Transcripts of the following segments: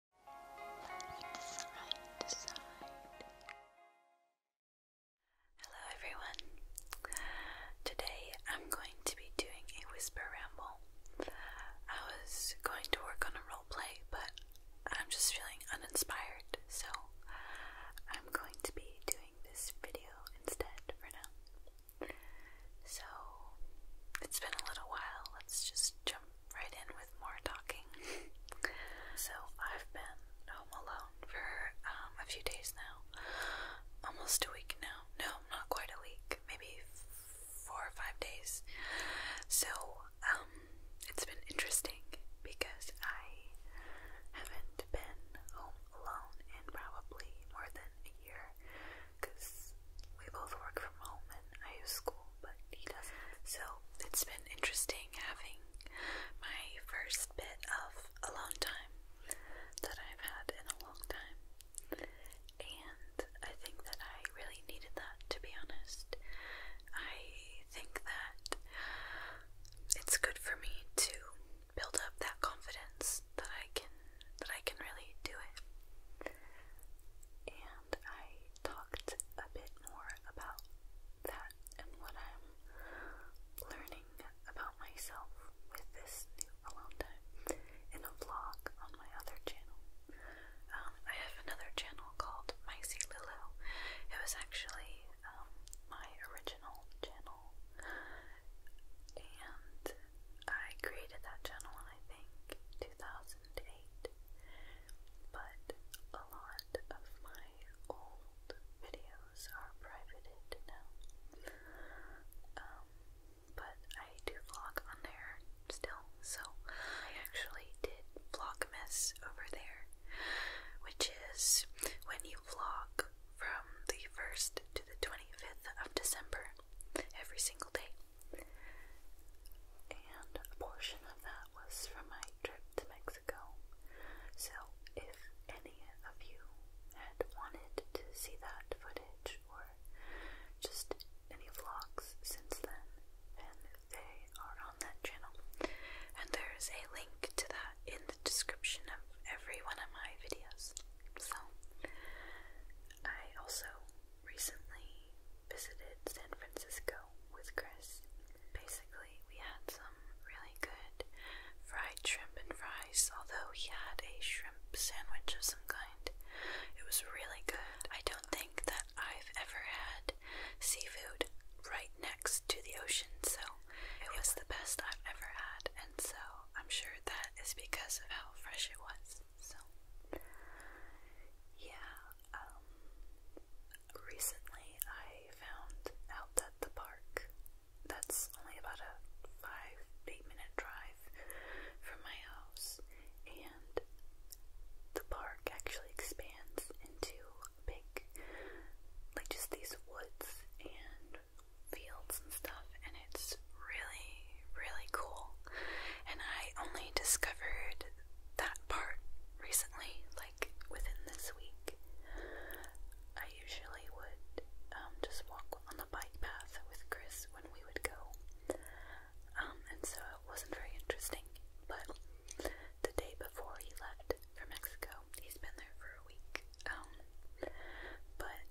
Hello everyone. Today I'm going to be doing a whisper ramble. I was going to work on a role play, but I'm just feeling uninspired, so I'm going to be doing this video instead for now. So it's been a little while, let's just jump right in with more talking. so I've been home alone for um, a few days now, almost a week now. No, not quite a week, maybe four or five days. So um, it's been interesting because I haven't been home alone in probably more than a year because we both work from home and I use school, but he doesn't. So it's been interesting having my first bit of alone time that I've had in a long time. And I think that I really needed that, to be honest. I think that it's good for me to build up that confidence that I can that I can really do it. And I talked a bit more about that and what I'm learning about myself with this new alone time in a vlog on my other channel. Um, I have another channel called Micey Lulu. It was actually um, my original channel, and I created that channel I think 2008 but a lot of my old videos are privated now. Um, but I do vlog on there still, so I actually did Vlogmas over there, which is when you vlog from the 1st to the 25th of December every single day. And a portion of that was from my trip to Mexico. So if any of you had wanted to see that footage or just any vlogs since then, and they are on that channel. And there is a link to that in the description of every one of my videos. So, I also recently visited San Francisco with Chris. Basically, we had some really good fried shrimp and fries, although he had a shrimp sandwich of some kind. It was really good. I don't think that I've ever had seafood right next to the ocean, so it was the best I've ever had, and so I'm sure that is because of how fresh it was. So, yeah, um, recently I found out that the park that's only about a five, eight minute drive from my house, and the park actually expands into big, like just these woods and fields and stuff, and it's was really, really cool. And I only discovered that part recently, like within this week. I usually would um, just walk on the bike path with Chris when we would go. Um, and so it wasn't very interesting. But the day before he left for Mexico, he's been there for a week. Um, but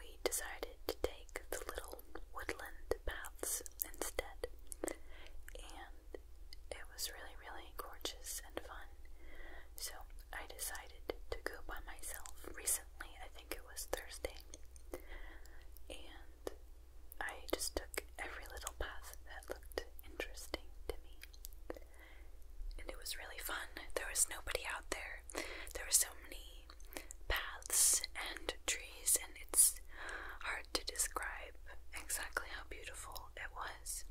we decided to take the little woodland to baths instead. And it was really, really gorgeous and fun. So I decided to go by myself recently. I think it was Thursday. And I just took every little path that looked interesting to me. And it was really fun. There was nobody out there. There were so many paths and trees, and it's hard to describe exactly how beautiful it was.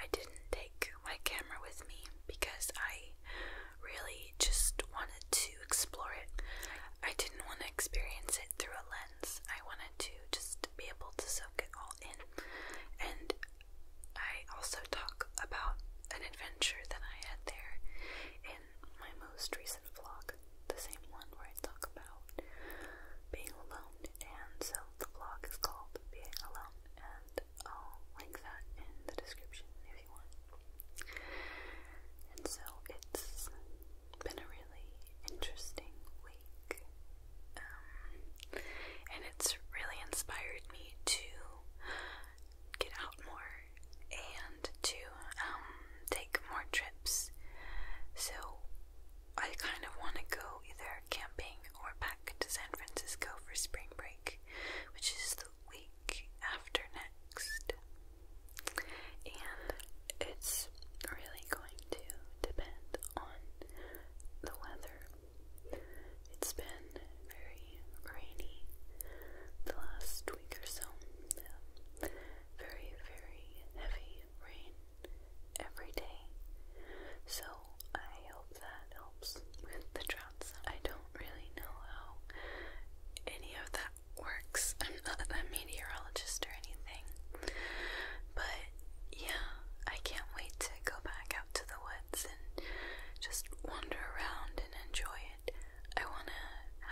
I didn't take my camera with me because I really just wanted to explore it. I didn't want to experience it through a lens. I wanted to just be able to soak it all in. And I also talk about an adventure that I had there in my most recent vlog, the same one where I talk about being alone, and so the vlog is called Being Alone, and I'll link that in the description if you want. And so it's been a really interesting week, um, and it's really inspired me to get out more and to um, take more trips, so I kind of want to go either camping or back to San Francisco for spring break, which is the week after next. And it's really going to depend on the weather. It's been very rainy the last week or so. Very, very heavy rain every day. So I hope that helps with the droughts. I don't really know how any of that works. I'm not a meteorologist or anything. But yeah, I can't wait to go back out to the woods and just wander around and enjoy it. I want to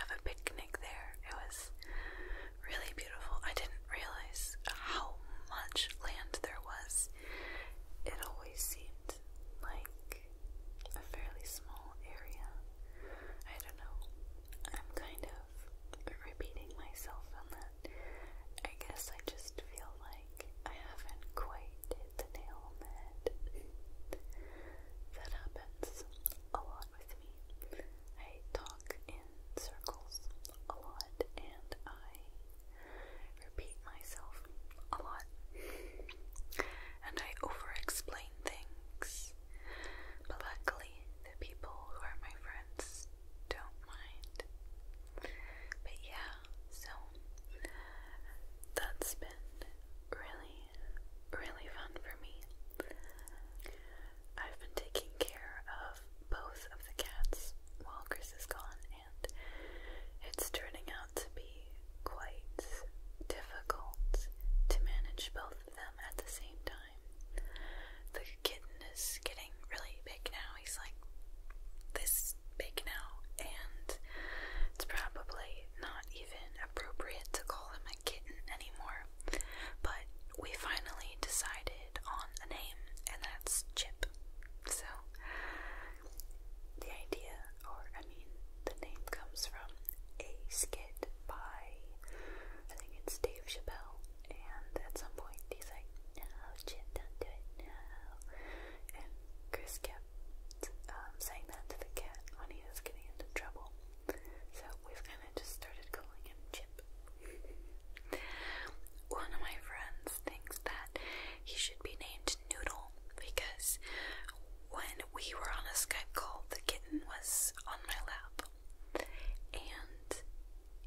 have a picnic there. It was really beautiful. I didn't realize how much land there was. It always seemed like a fairly small area. I don't know. I'm kind of repeating myself on that. I guess I just feel like I haven't quite hit the nail on the that happens a lot with me. I talk in circles a lot and I repeat myself a lot. And I over explain things. But luckily, the people who are my friends don't mind. But yeah, so that's been really really fun for me. I've been taking care of both of the cats while Chris is gone, and it's turning out to be quite difficult to manage both of them at the same time. The kitten is getting really big now, he's like this big now, and it's probably not even appropriate to call him a kitten anymore, but we finally decided on a name, and that's Chip. So, the idea, or I mean, the name comes from a skit by, I think it's Dave Chappelle, and at some point he's like, No, Chip, don't do it, no. And Chris Kelly um, saying that to the cat when he was getting into trouble. So we've kind of just started calling him Chip. One of my friends thinks that he should be named Noodle because when we were on a Skype call, the kitten was on my lap. And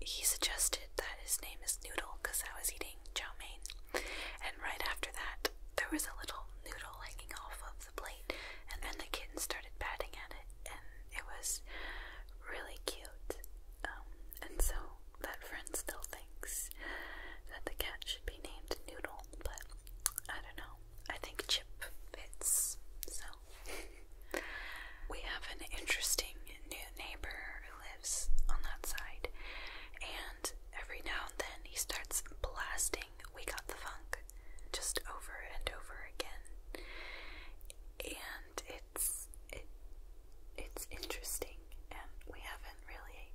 he suggested that his name is Noodle because I was eating chow And right after that, there was a little noodle noodle hanging off of the plate, and then the kitten started patting at it, and it was really cute. Um, and so that friend still thinks that the cat should be named Noodle, but I don't know. I think Chip fits, so. we have an interesting new neighbor who lives on that side, every now and then he starts blasting We Got the Funk just over and over again. And it's it's interesting and we haven't really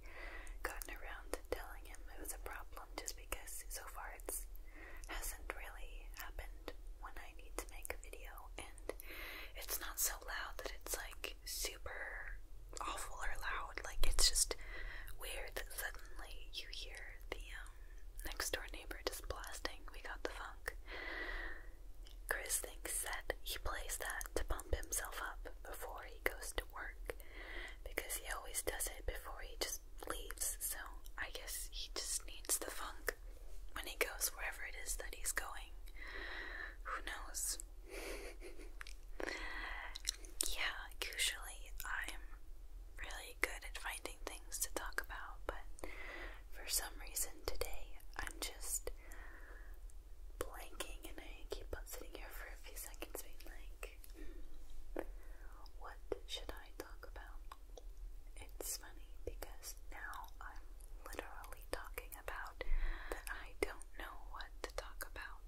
gotten around to telling him it was a problem just because so far it's hasn't really happened when I need to make a video and it's not so loud that it's like super awful or loud. Like it's just weird that suddenly you hear the um, next door neighbor just blasting "We Got the Funk." Chris thinks that he plays that to pump himself up before he goes to work because he always does it before he just leaves. So I guess he just needs the funk when he goes wherever it is that he's going. Who knows? Yeah, usually I'm really good at finding things to talk about, but for some reason today I'm just blanking and I keep on sitting here for a few seconds being like, hmm, what should I talk about? It's funny because now I'm literally talking about that I don't know what to talk about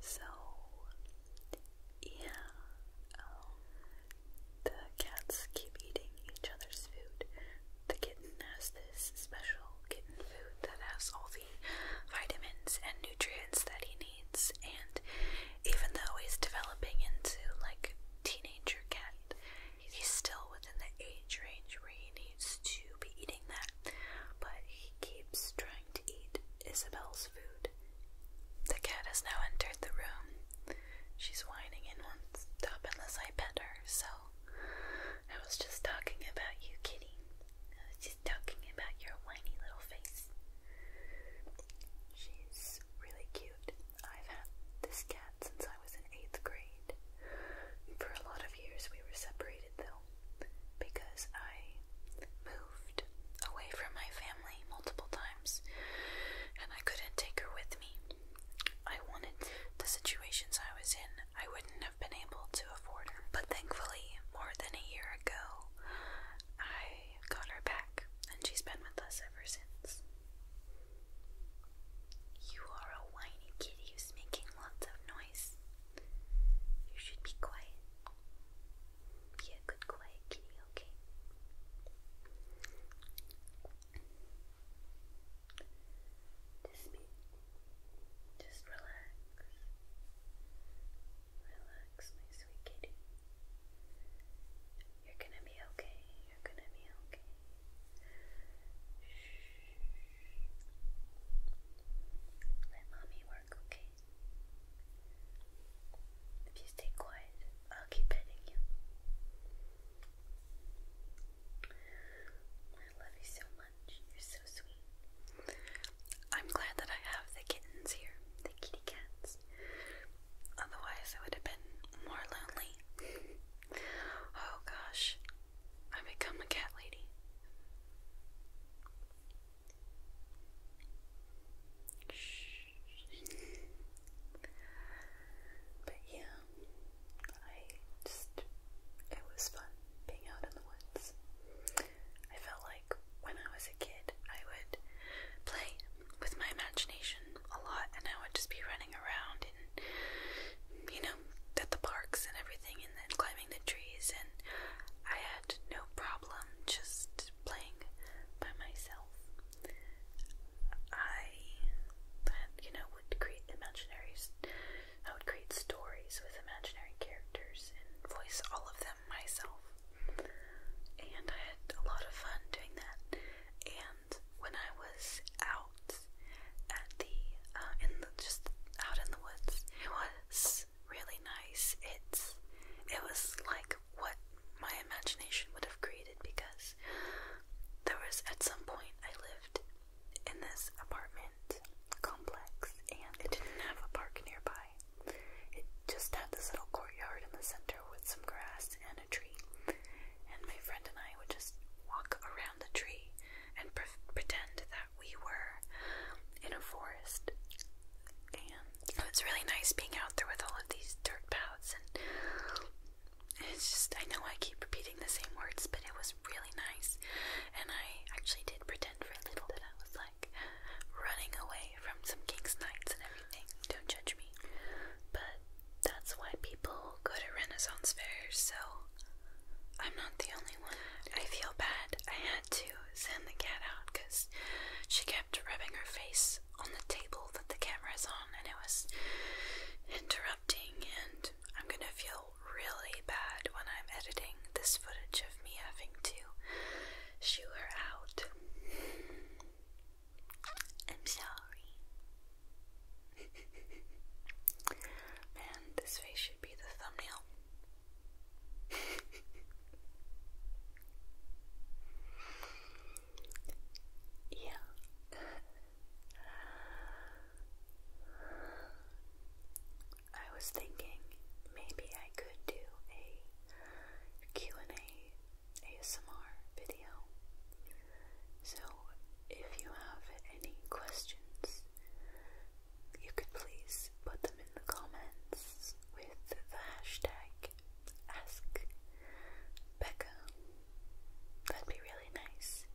so yeah, um, the cats keep eating each other's food. The kitten has this special kitten food that has all the vitamins and nutrients that he needs, and even though he's developing into like a teenager cat, he's still within the age range where he needs to be eating that but he keeps trying to eat Isabel's food. The cat has now entered the room. She's whining and won't stop unless I pet her, so I was just talking about you, kitty. I was just talking about your whiny little face. She's really cute. I've had this cat since I was in eighth grade. For a lot of years, we were separated, though because I moved away from my family multiple times and I couldn't take her with me. I wanted the situations I was in, I wouldn't have been able to afford her. But thankfully, more than a year ago, I got her back and she's been with us ever since. You are a whiny kitty who's making lots of noise. You should be quiet. Be a good quiet kitty, okay? Just be, just relax. Relax, my sweet kitty. You're gonna be okay. You're gonna be okay. Shh. Let mommy work, okay? If you stay quiet, I'll keep petting you. I love you so much. You're so sweet. I'm glad that I have the kittens here, the kitty cats. Otherwise, I would have been more lonely. oh gosh, I become a cat lady. But yeah, I just, it was fun being out in the woods. I felt like when I was a kid, I would play with my imagination a lot and I would just be running around and you know, at the parks and everything, and then climbing the trees, and I had no problem just playing by myself. I, you know, would create imaginaries. I would create stories with imaginary characters and voice all of them myself. And I had a lot of fun doing that. And when I was out at the uh, in just out in the woods. It was really nice. It's it was like what my imagination would have created because there was at some point I lived in this apartment complex and it didn't have a park nearby. It just had this little courtyard in the center with some grass and a tree. And my friend and I would just walk around the tree and pretend that we were in a forest. And it's really nice being out there with all of these dirt paths. And it's just, I know I keep repeating the same words, but it was really nice. And I actually did pretend for a little that I was like running away from some king's knights and everything. Don't judge me. But that's why people go to Renaissance fairs, so I'm not the only one. I feel bad. I had to send the cat out because she kept rubbing her face on the table that the camera is on and it was interrupting and I'm gonna feel really bad when I'm editing this footage of me having to shoo her out. I'm sorry. Man, this face should be the thumbnail. yeah. I was thinking maybe I could do a and a ASMR video. So if you have any questions, you could please put them in the comments with the hashtag AskBecca. That'd be really nice.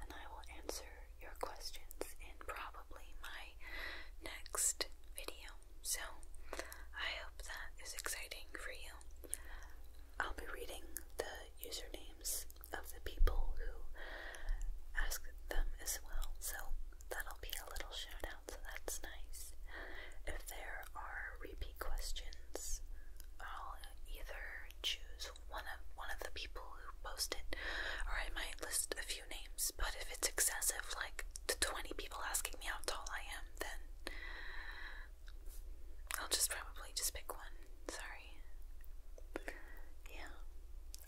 And I will answer your questions in probably my next video. So I hope that is exciting for you. I'll be reading the usernames of the people who ask them as well. So that'll be a little shout out, so that's nice. If there are repeat questions, I'll either choose one of one of the people who posted, or I might list a few names, but if it's excessive, like the 20 people asking me how tall I am, then I'll just probably just pick one. Sorry. Yeah.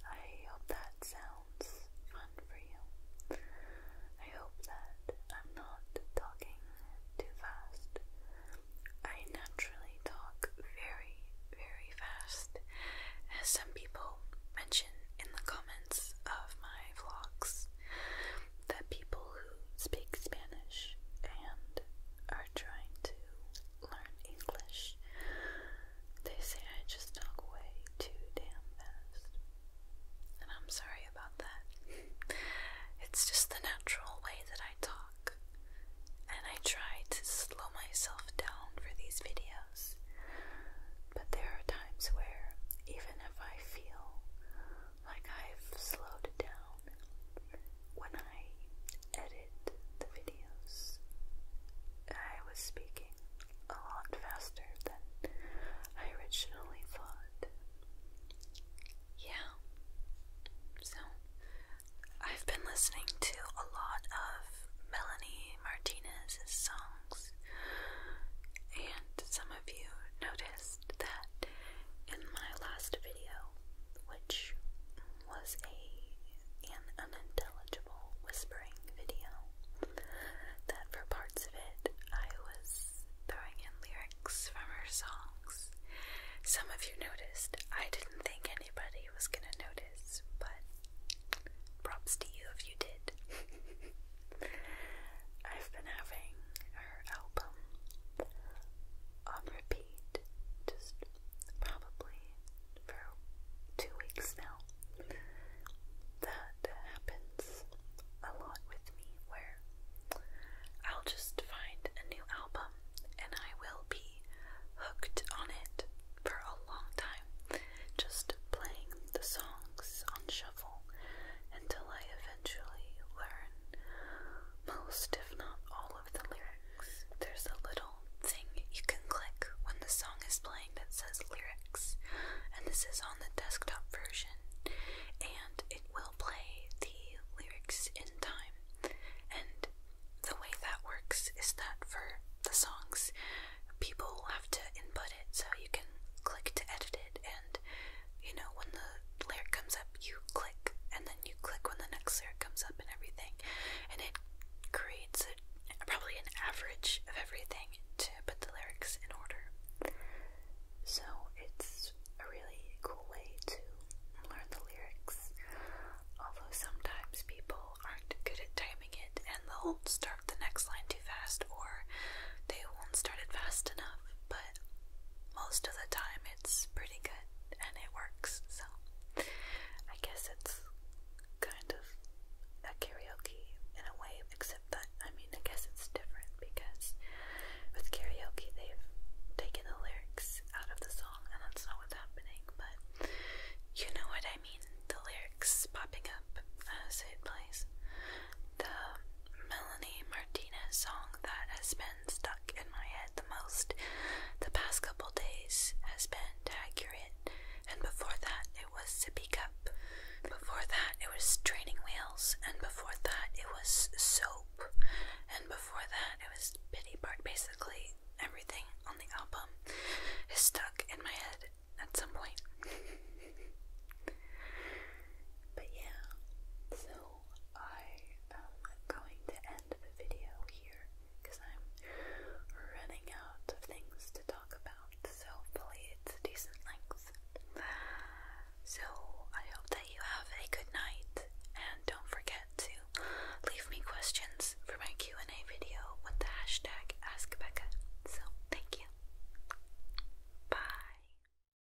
I hope that sounds fun for you. I hope that I'm not talking too fast. I naturally talk very, very fast, as some people mention in the comments of my vlogs that people who speak Spanish and uh, trying to learn English, they say I just talk way too damn fast. And I'm sorry about that. it's just the natural way that I talk. And I try to slow myself down for these videos. But there are times where, even if I feel like I've slowed it down when I edit the videos. I was speaking a lot faster than I originally thought. Yeah. So, I've been listening to a lot of Melanie Martinez's songs, and some of you noticed that in my last video, which was a an unintelligible whispering video. That for parts of it, I was throwing in lyrics from her songs. Some of you noticed. I didn't think anybody was gonna notice, but props to you if you did. I've been having her album on repeat, just probably for two weeks now. That happens a lot with me where I'll just find a new album and I will be hooked on it for a long time, just playing the songs on shuffle until I eventually learn most, if not all, of the lyrics. There's a little thing you can click when the song is playing that says lyrics, and this is on the desktop version, and it will play the lyrics in time. And the way that works is that for the songs, people have to input it so you can click to edit it, and you know, when the layer comes up, you click, and then you click when the next layer comes up, and everything. And it creates probably an average of everything to put the lyrics in order. So it's a really cool way to learn the lyrics. Although sometimes people aren't good at timing it and they'll start the next line too fast or they won't start it fast enough. But most of the time it's pretty good and it works, so I guess it's kind of a karaoke in a way, except that I mean, I guess it's different because with karaoke they've taken the lyrics out of the song, and that's not what's happening, but you know what I mean the lyrics popping up as it plays the Melanie Martinez song that has been stuck in my head the most the past couple days has been Tag and before that it was Sippy Cup. Before that it was Training Wheels, and before that it was Soap, and before that it was Pity Part. Basically, everything on the album is stuck in my head at some point. but yeah, so I am going to end the video here because I'm running out of things to talk about. So hopefully it's a decent length. So I hope that you have a good night and don't forget to leave me questions for my Q&A video with the hashtag Ask Becca. So thank you. Bye.